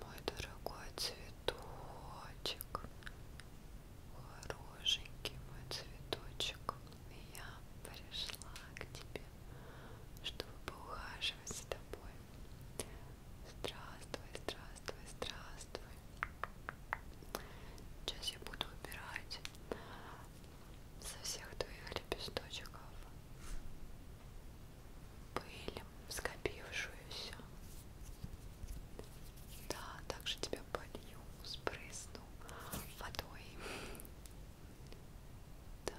Мой дорогой цветочек, хорошенький мой цветочек, я пришла к тебе, чтобы поухаживать за тобой. Здравствуй, здравствуй, здравствуй. Сейчас я буду убирать со всех твоих лепесточков пыль, скопившуюся. Да, также тебя полью, спрысну водой. Так.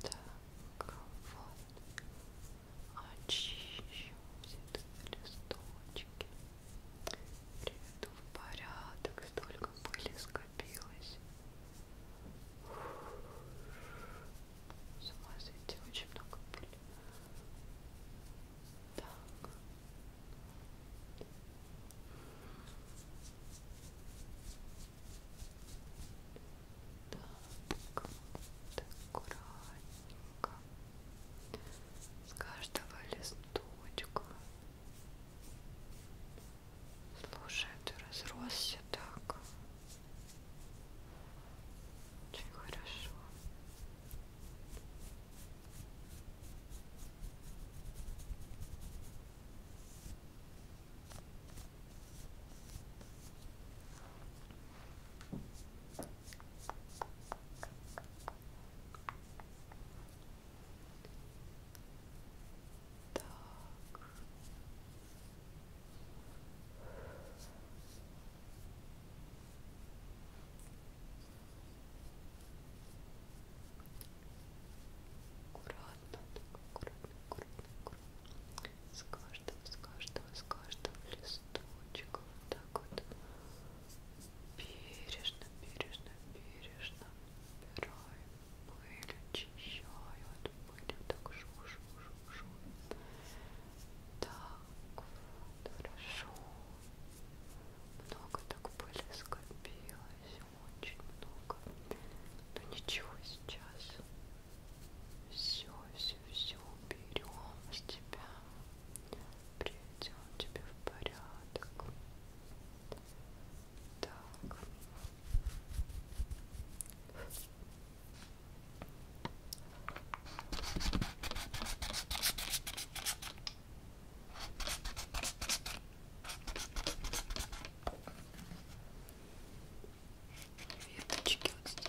Так, вот. Очищу все эти листочки. Приведу в порядок. Столько пыли скопилось. С ума сойти, очень много пыли. Так. Так, вот аккуратненько. С каждого листочка Слушай, ты разросся так. Очень хорошо. Так. Аккуратно, так, аккуратно, аккуратно, аккуратно. С каждого, с каждого, с каждого листочка вот так вот бережно, бережно, бережно убираем пыль очищаю от пыли, так шу-шу-шу-шу. Так, вот, хорошо. Много так пыли скопилось, очень много. Но ну, ничего сейчас. Все, все, все уберем с тебя. Приведем тебя в порядок. Так. Веточки вот здесь.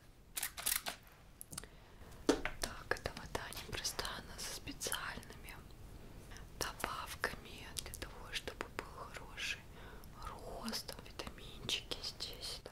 Так, эта вода непростая, она со специальными добавками для того, чтобы был хороший рост, витаминчики здесь, да.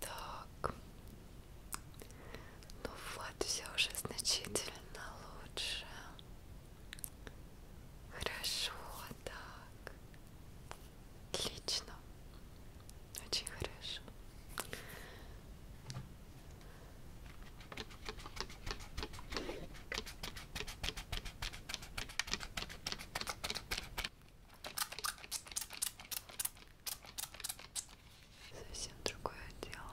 Так, ну вот, все уже значительно лучше. Хорошо, так. Отлично. Очень хорошо. Совсем другое дело.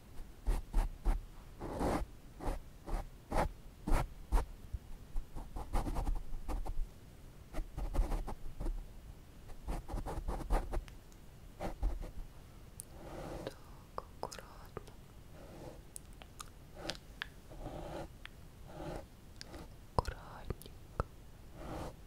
Так, аккуратно. Аккуратненько. Хорошо.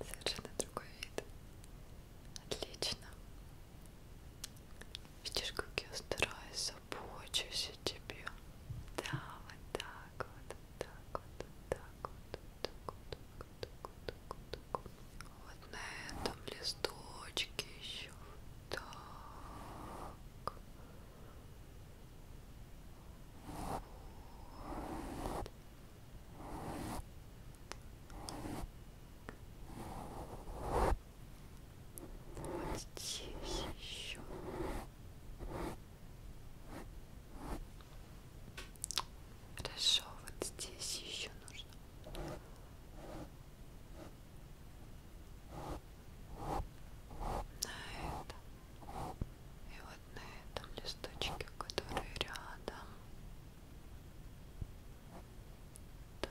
Совершенно другой вид. Отлично. Видишь, как я стараюсь, забочусь о тебе. Да, вот так так вот, так вот, так вот, так вот, так вот, так вот. Вот на этом листочке еще так. Вот. Вот здесь еще Хорошо, вот здесь еще нужно. На этом. И вот на этом листочке, который рядом. Да.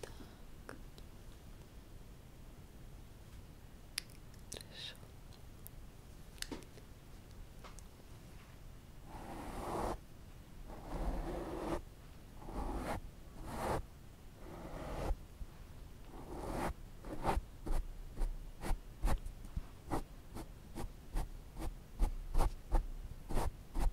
Так. Хорошо. Так.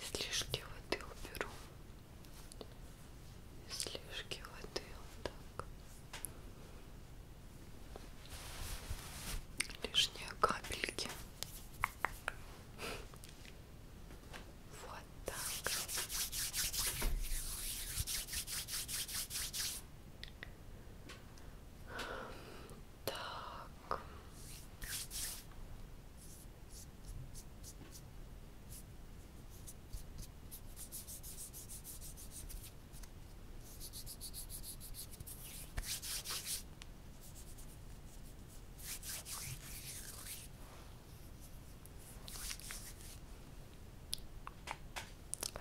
Слишком воды уберу излишки воды вот так лишние капельки вот так так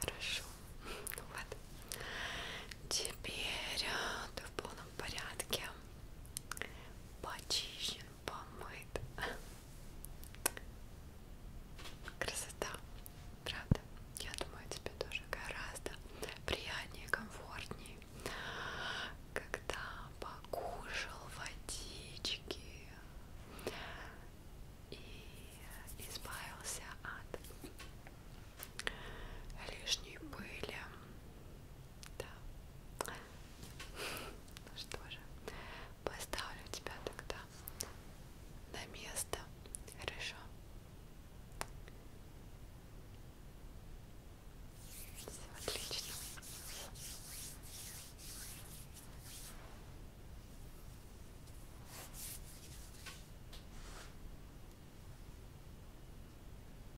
Хорошо. Ну вот. Теперь э, ты в полном порядке. Почищен помыт. Красота, правда? Я думаю, тебе тоже гораздо приятнее, комфортнее, когда покушал водички и избавился от лишней пыли да. Ну что же, поставлю тебя тогда на место. Хорошо. Все отлично.